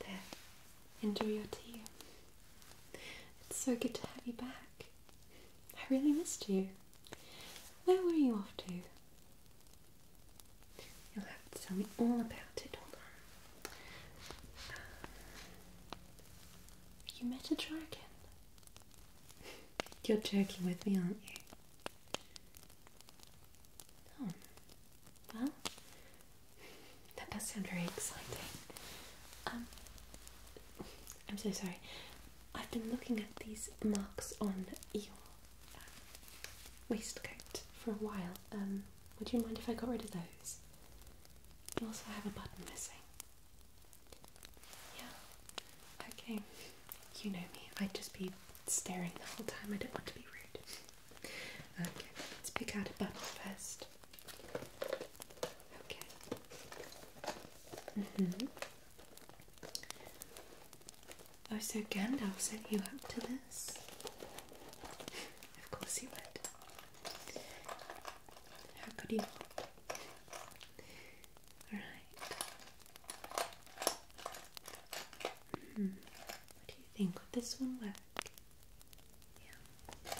There, enjoy your tea. It's so good to have you back. I really missed you. Where were you off to? You'll have to tell me all about it. Hold on. You met a dragon. You're joking with me, aren't you? Oh, well, that does sound very exciting. Um, I'm so sorry. I've been looking at these marks on your um, waistcoat for a while. Um, would you mind if I got rid of those? Also, I have a button missing. Yeah. Okay. You know me, I'd just be staring the whole time. I don't want to be rude. Okay, let's pick out a button first. Okay. Mm-hmm. Oh, so Gandalf sent you up to this? of course he would. How could he not? Hmm. What do you think? Would this one work? Yeah.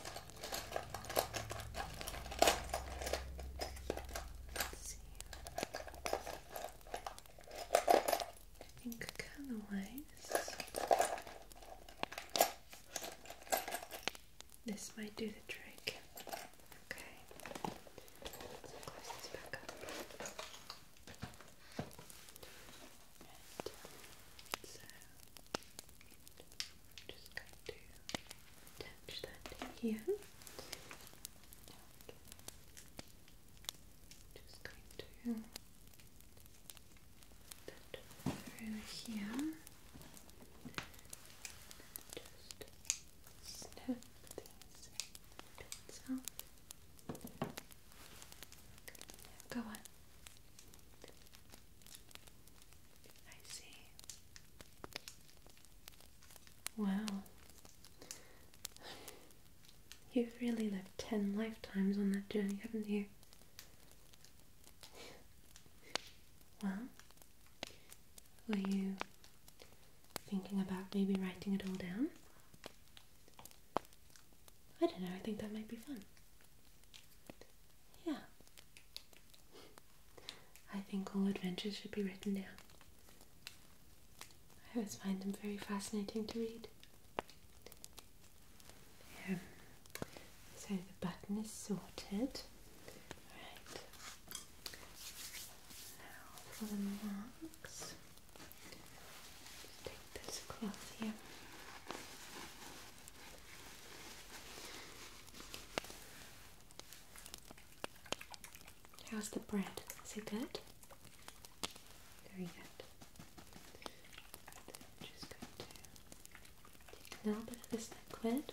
see. I think color wise this might do the trick. Okay. close this back up. And so just going to attach that here. just going to that through here. just snap these bits Go on. I see. Wow. You've really lived ten lifetimes on that journey, haven't you? Well, were you thinking about maybe writing it all down. I don't know, I think that might be fun. Yeah. I think all adventures should be written down. I always find them very fascinating to read. Yeah. So the button is sorted. Alright. Now for the marks take this cloth here. How's the bread? Is it good? Very good. just going to take a little bit of this liquid.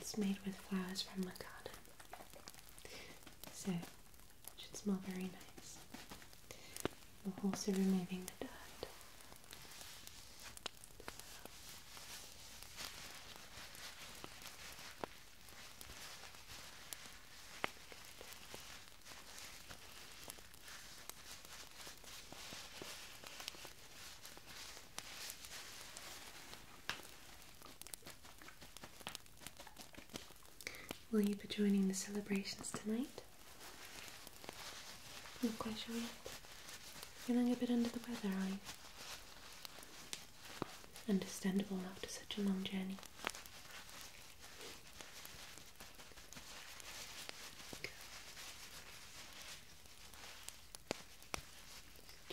It's made with flowers from my garden. So it should smell very nice. We're also removing the dirt. Will you be joining the celebrations tonight? Not quite sure yet. Feeling a bit under the weather, are you? Understandable after such a long journey.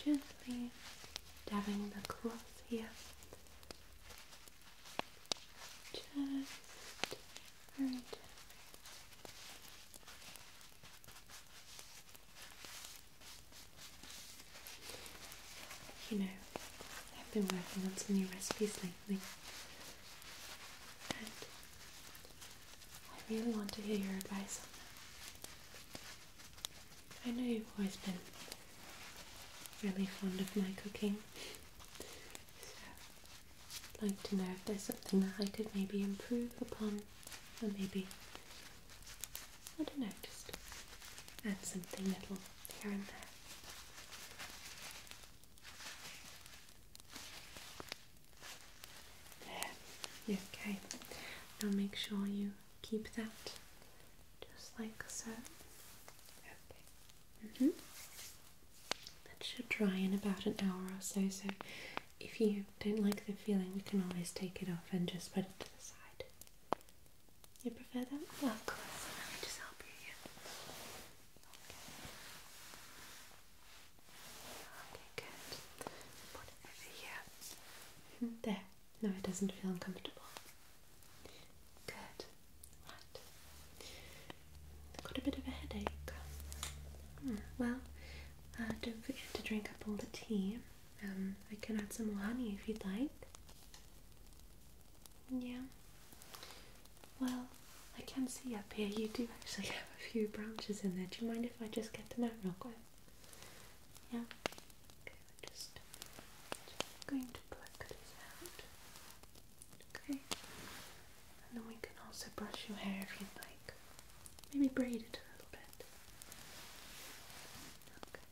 Gently dabbing the cloth here. Just very You know, I've been working on some new recipes lately, and I really want to hear your advice on them. I know you've always been really fond of my cooking, so I'd like to know if there's something that I could maybe improve upon, or maybe, I don't know, just add something little here and there. There, okay. I'll make sure you keep that just like so. Okay. -hmm. That should dry in about an hour or so. So if you don't like the feeling, you can always take it off and just put it to the side. You prefer that? of course. Let me just help you here. Okay, good. Put it over here. Hmm, there. No, it doesn't feel uncomfortable. Good. Right. Got a bit of a headache. Hmm, well, uh, don't forget to drink up all the tea. Um, I can add some more honey if you'd like. Yeah. Well, I can see up here you do actually have a few branches in there. Do you mind if I just get them out real quick? Yeah. I'm just going to pluck this out. Okay. And then we can also brush your hair if you'd like. Maybe braid it a little bit. Okay.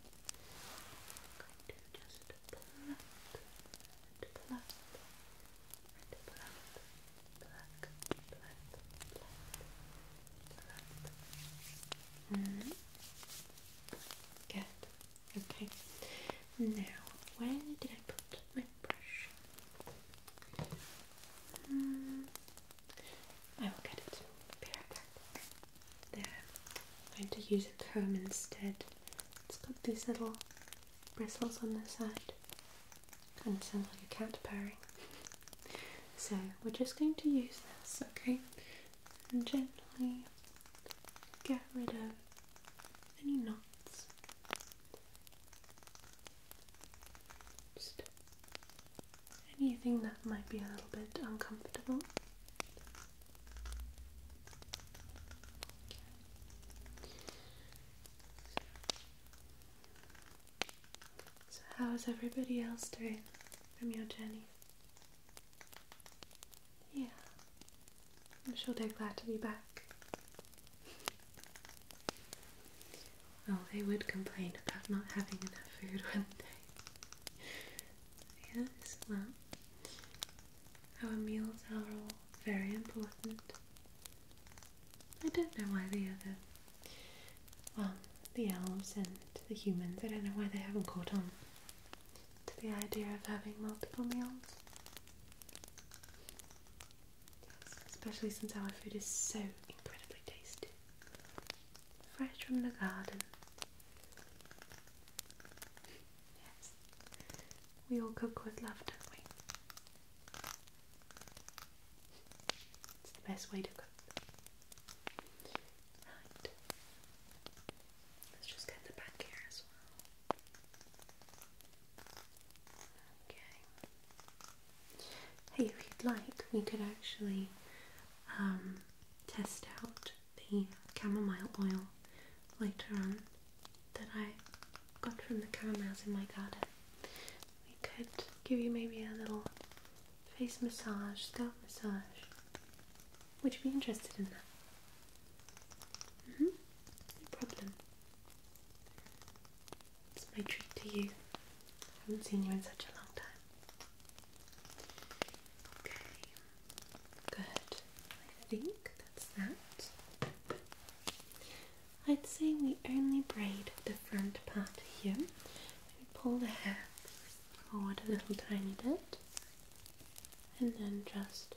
I'm going to just pluck and pluck and pluck, pluck, pluck, pluck, pluck, Mm Okay. Now, where did I put my brush? Mm. I will get it. Be back. There. I'm going to use a comb instead. It's got these little bristles on the side. Kind of sounds like a cat purring. So we're just going to use this, okay, and gently get rid of any knots. Just anything that might be a little bit uncomfortable. So, how is everybody else doing from your journey? Yeah, I'm sure they're glad to be back. Well, oh, they would complain about not having enough food, wouldn't they? yes, well, our meals are all very important. I don't know why the other well, the elves and the humans. I don't know why they haven't caught on to the idea of having multiple meals. Especially since our food is so incredibly tasty. Fresh from the garden. Yes. We all cook with love, don't we? It's the best way to cook. Let's just get the back here as well. Okay. Hey, if you'd like, we could actually um, test out the chamomile oil later on that I got from the camomiles in my garden. We could give you maybe a little face massage, scalp massage. Would you be interested in that? Mm -hmm. No problem. It's my treat to you. I haven't seen you in such a long time. Okay. Good. I think that's that. I'd say we only braid the front part here pull the hair forward a little tiny bit, and then just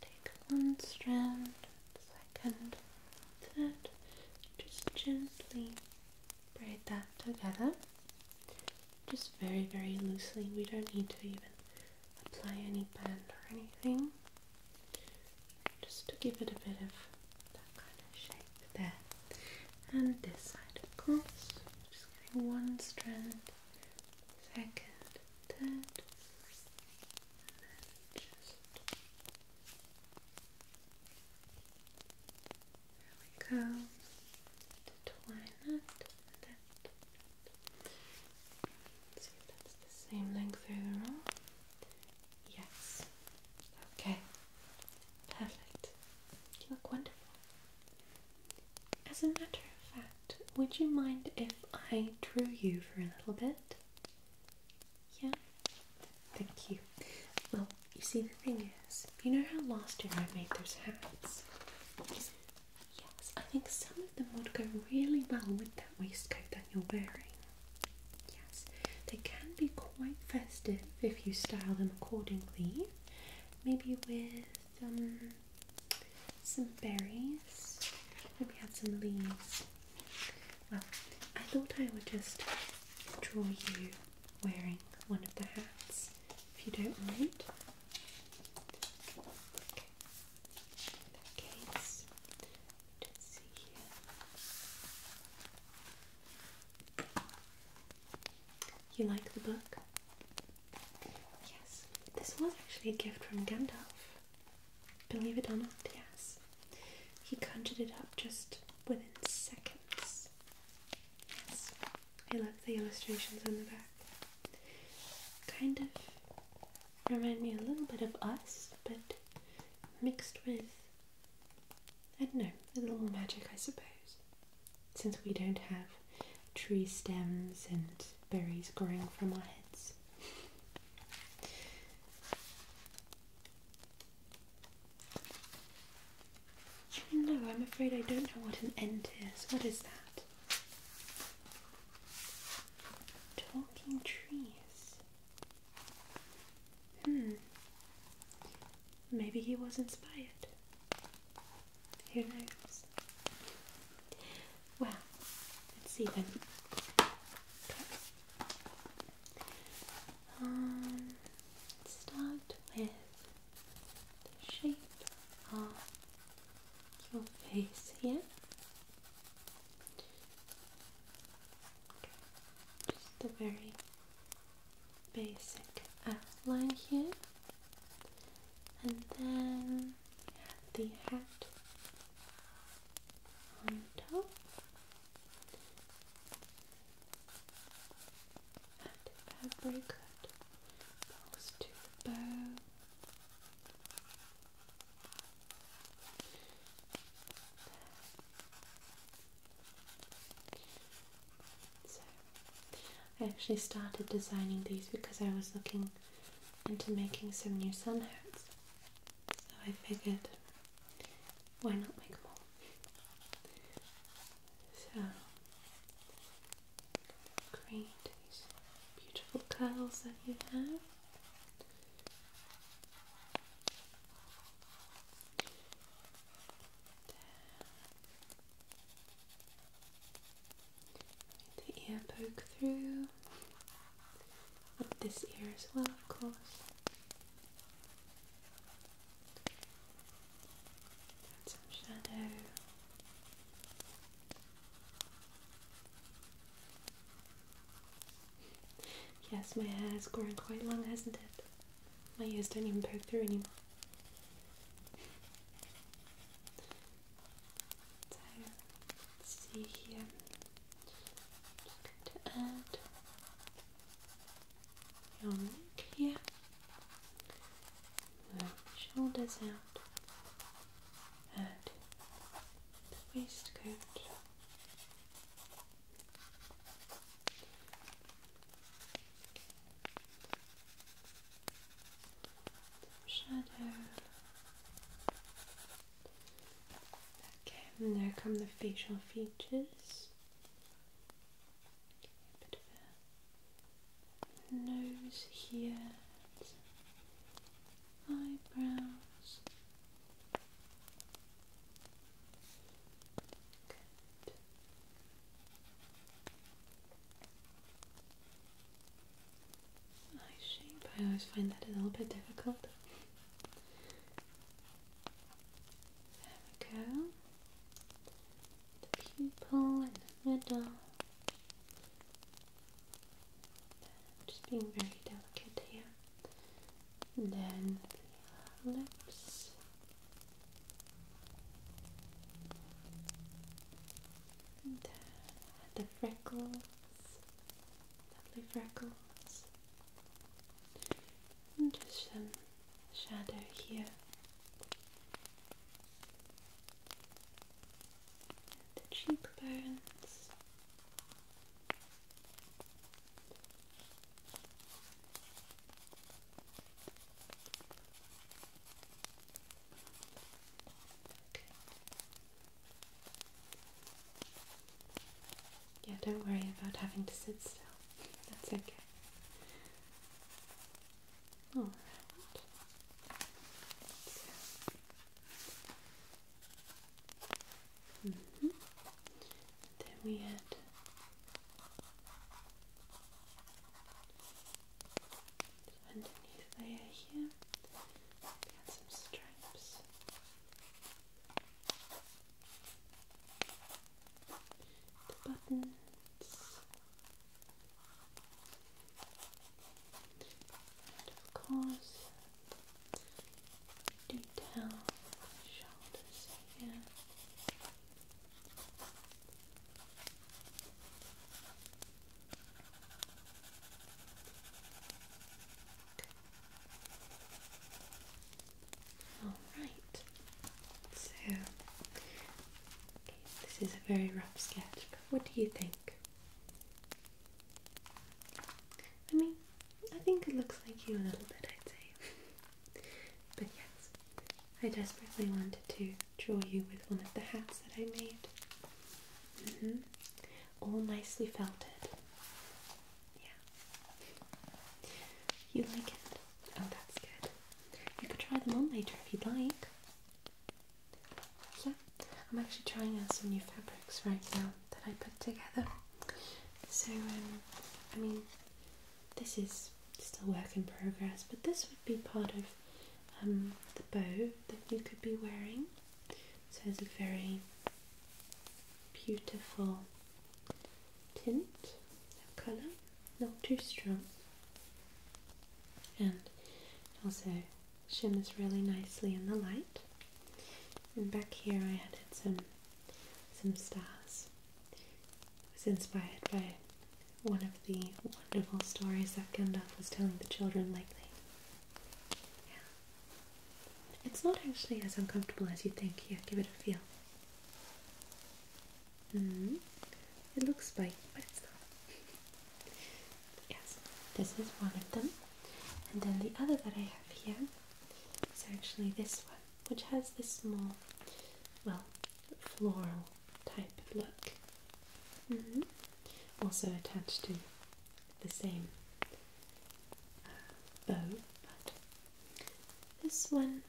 take one strand, second, third, just gently braid that together. Just very, very loosely. We don't need to even apply any band or anything. Just to give it a bit of kind of shape there. And this side, of course, just getting one strand, second, third, and then just there we go. twine that, that. let see if that's the same length overall. Yes. Okay. Perfect. You look wonderful. As a matter of fact, would you mind if I drew you for a little bit? Yeah? Thank you. Well, you see, the thing is, you know how last year I made those hats? Yes, I think some of them would go really well with that waistcoat that you're wearing. Yeah they can be quite festive if you style them accordingly. Maybe with um, some berries, maybe have some leaves. Well, I thought I would just draw you wearing one of the hats, if you don't mind. Okay. let's see here. You like the book? Yes. This was actually a gift from Gandalf. Believe it or not, yes. He conjured it up just within seconds. Yes. I love the illustrations on the back. Kind of remind me a little bit of us, but mixed with I don't know, a little more magic, I suppose. Since we don't have tree stems and berries growing from our heads. No, I'm afraid I don't know what an end is. What is that? Talking trees. Hmm. Maybe he was inspired. Who knows? Well, let's see then. Um, let's start with the shape of your face here. Just the very basic outline here, and then the hat on top. That fabric that falls to the bow. I actually started designing these because I was looking into making some new sun hats. So, I figured why not make more? So, create these beautiful curls that you have the ear poke through. Up this ear as well, of course. some shadow. Yes, my hair hair's growing quite long, hasn't it? My ears don't even poke through anymore. see here. just going to add your neck here. Move shoulders out and the waistcoat shadow. Okay, and there come the facial features. nose here, eyebrows, Eye shape, I always find that a little bit difficult. There we go. The pupil in the middle. Just being very delicate here and then the lips. And the, freckles, lovely freckles, and just some shadow here. And the cheekbones, yeah, don't worry about having to sit still. That's okay. Mm Then we had underneath layer here. We got some stripes. buttons. And of detail on the shoulders here. Alright, so this is a very rough sketch, but what do you think? I mean, I think it looks like you a little bit, I'd say. But yes, I desperately wanted to draw you with one of the hats that I made. Mm-hmm. All nicely felted. Yeah. You like it? Oh, that's good. You could try them on later if you'd like. Yeah, I'm actually trying out some new fabrics right now that I put together. So, um, I mean, this is still work in progress, but this would be part of um, the bow that you could be wearing. So it's a very beautiful tint of colour, not too strong, and also shimmers really nicely in the light. And back here, I added some some stars. was inspired by one of the wonderful stories that Gandalf was telling the children lately. Yeah. It's not actually as uncomfortable as you think. Here, give it a feel. Mm. It looks spiky, but it's not. yes, this is one of them. And then the other that I have here is actually this one which has this small, well, floral type look. Mm-hmm. Also attached to the same uh, bow, but this one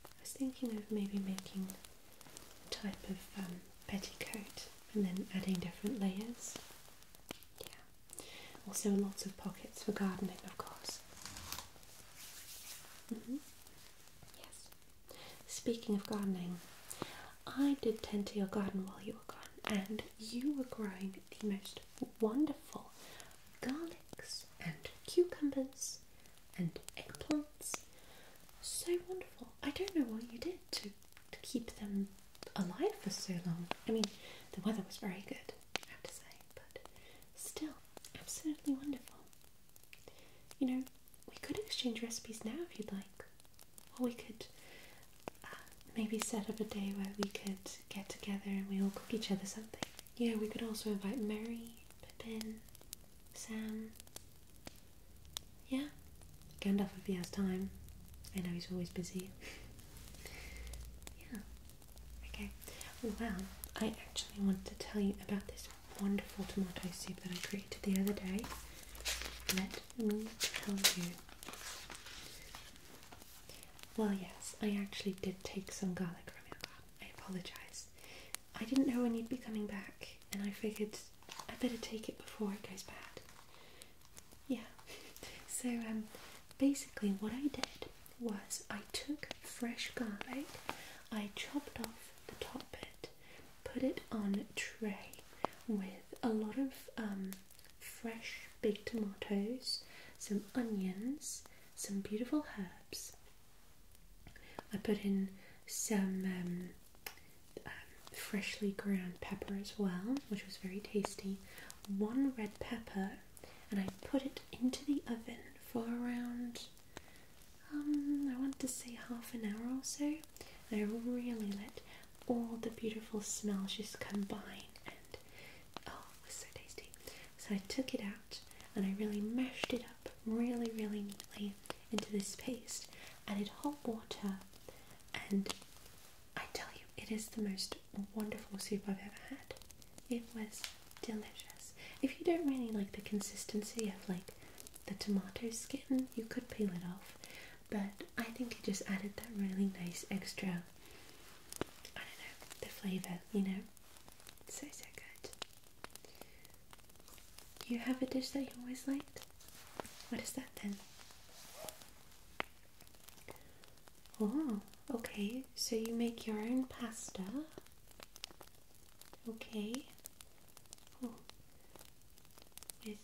I was thinking of maybe making a type of um, petticoat and then adding different layers. Yeah. Also, lots of pockets for gardening, of course. Mm-hmm. Yes. Speaking of gardening, I did tend to your garden while you were gone, and you were growing the most wonderful garlics and cucumbers and eggplants. So wonderful. I don't know what you did to, to keep them alive for so long. I mean, the weather was very good have to say, but still, absolutely wonderful. You know, we could exchange recipes now if you'd like, or we could uh, maybe set up a day where we could get together and we all cook each other something. Yeah, we could also invite Mary, Pippin, Sam. Yeah, Gandalf if he has time. I know he's always busy. yeah, Okay, well, I actually want to tell you about this wonderful tomato soup that I created the other day. Let me tell you. Well, yes, I actually did take some garlic from your garden. I apologise. I didn't know when you'd be coming back, and I figured I better take it before it goes bad. Yeah. So um, basically, what I did was I took fresh garlic, I chopped off the top bit, put it on a tray with a lot of um, fresh big tomatoes, some onions, some beautiful herbs. I put in some um, um, freshly ground pepper as well, which was very tasty. One red pepper and I put it into the oven for around, um, I want to say half an hour or so. And I really let all the beautiful smells just combine, and oh, it was so tasty. So I took it out and I really mashed it up really, really neatly into this paste. Added hot water, and I tell you, it is the most wonderful soup I've ever had. It was delicious. If you don't really like the consistency of like the tomato skin, you could peel it off, but I think it just added that really nice extra, I don't know, the flavour, you know? So, so good. You have a dish that you always liked? What is that then? Oh, okay. So you make your own pasta. Okay. Oh. With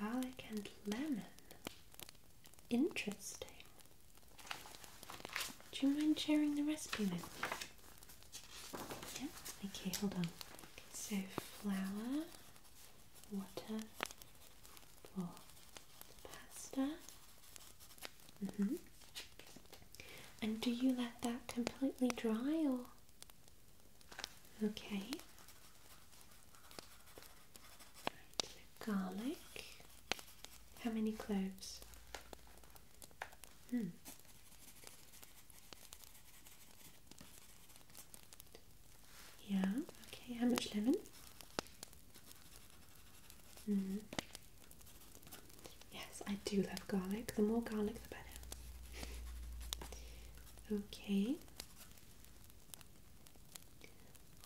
garlic and lemon. Interesting. Do you mind sharing the recipe with me? Yeah? Okay, hold on. So flour, water, flour pasta. -hmm. And do you let that completely dry or? Okay. garlic. How many cloves? Hmm. Yeah, okay. How much lemon? Mm. Yes, I do love garlic. The more garlic, the better. Okay.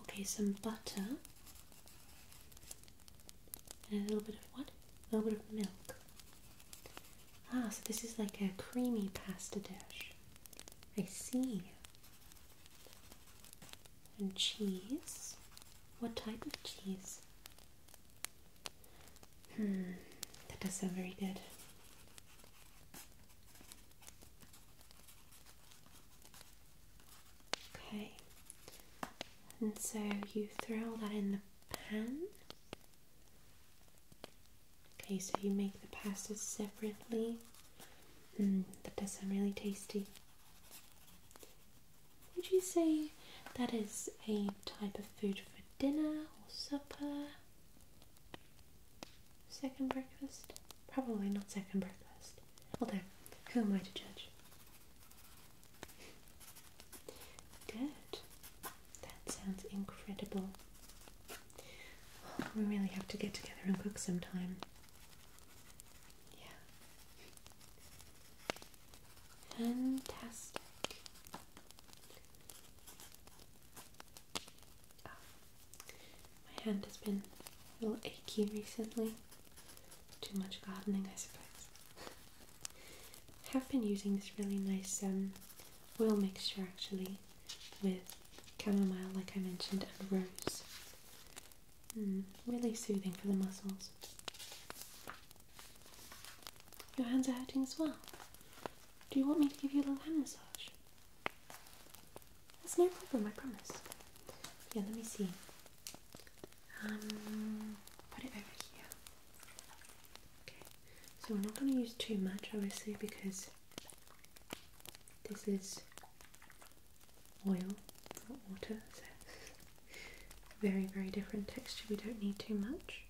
Okay, some butter. And a little bit of what? A little bit of milk. Ah, so this is like a creamy pasta dish. I see. And cheese. What type of cheese? Hmm, that does sound very good. Okay, and so you throw all that in the pan. Okay, so you make the pasta separately Mm, that does sound really tasty. Would you say that is a type of food for dinner or supper? Second breakfast? Probably not second breakfast. Although, who am I to judge? Good. That sounds incredible. We really have to get together and cook sometime. Yeah. Fantastic. Oh, my hand has been a little achy recently. Too much gardening, I suppose. I have been using this really nice um, oil mixture actually with chamomile, like I mentioned, and rose. Mm, really soothing for the muscles. Your hands are hurting as well. Do you want me to give you a little hand massage? That's no problem, I promise. Yeah, let me see. Um, put it over here. Okay, so we're not going to use too much, obviously, because this is oil, not water, so very, very different texture. We don't need too much.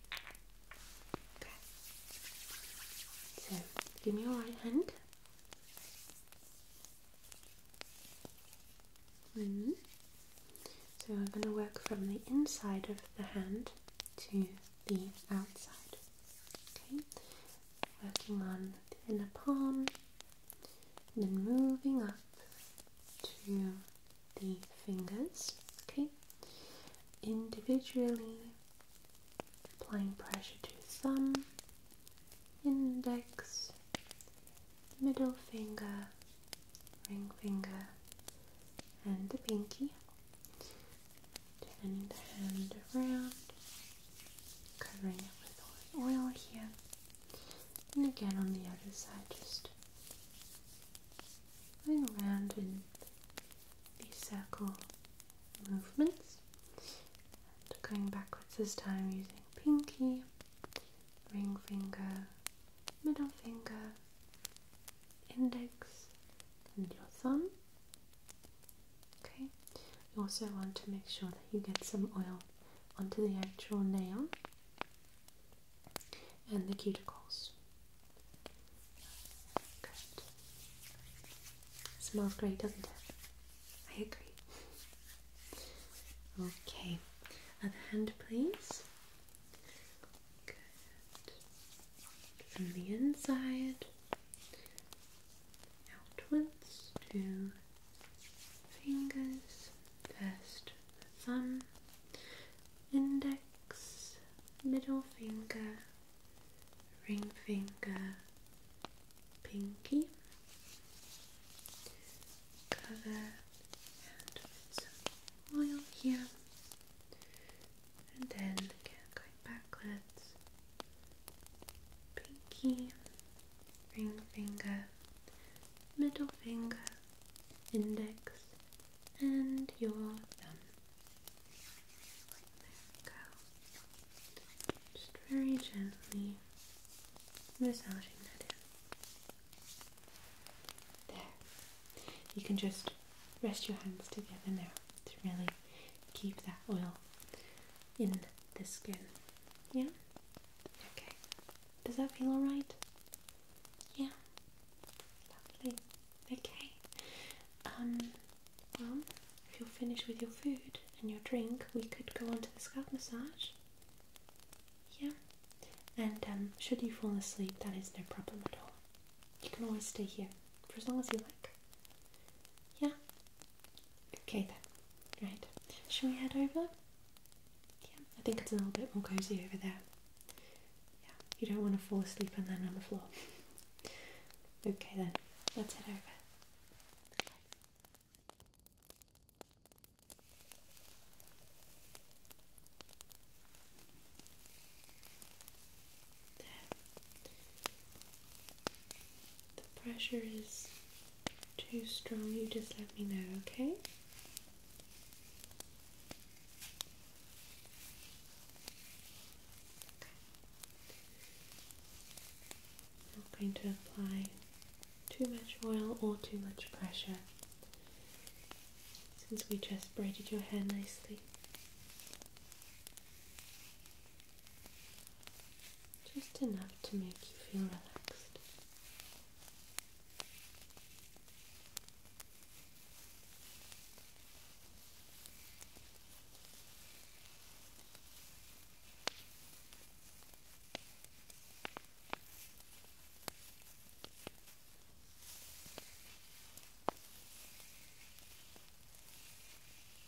So, give me your right hand. Mm-hmm. So, I'm going to work from the inside of the hand to the outside. Okay, working on the inner palm and then moving up to the fingers, okay? Individually applying pressure to thumb, index, middle finger, ring finger, and the pinky. Turning the hand around covering it with oil here, and again on the other side, just going around in these circle movements, going backwards this time using pinky, ring finger, middle finger, index, and your thumb. Okay, also want to make sure that you get some oil onto the actual nail and the cuticles. Good. Smells great, doesn't it? I agree. Okay, other hand, please. Good. From the inside outwards to fingers, first thumb, index, middle finger, ring finger, pinky, cover and some oil here, and then again going backwards pinky, ring finger, middle finger, index, and your thumb. There we go. Just very gently massaging that There. You can just rest your hands together now to really keep that oil in the skin. Yeah? Okay. Does that feel alright? Yeah. Lovely. Okay. Um well, if you're finished with your food and your drink, we could go on to the scalp massage. Yeah. And um should you fall asleep that is no problem at all. You can always stay here for as long as you like. Yeah? Okay then, right. Shall we head over? Yeah, I think it's a little bit more cozy over there. Yeah, you don't want to fall asleep and then on the floor. okay then, let's head over the pressure is too strong, you just let me know, okay? I'm not going to apply too much oil or too much pressure since we just braided your hair nicely just enough to make you feel relaxed.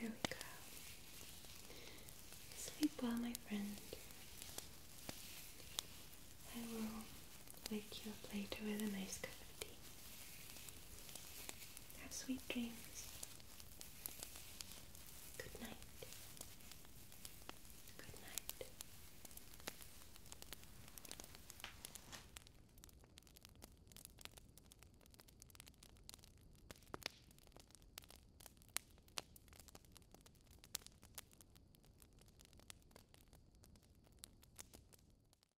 There we go. Sleep well, my friend. I will wake you up later with a nice cup of tea. Have sweet dreams. Good night. Good night.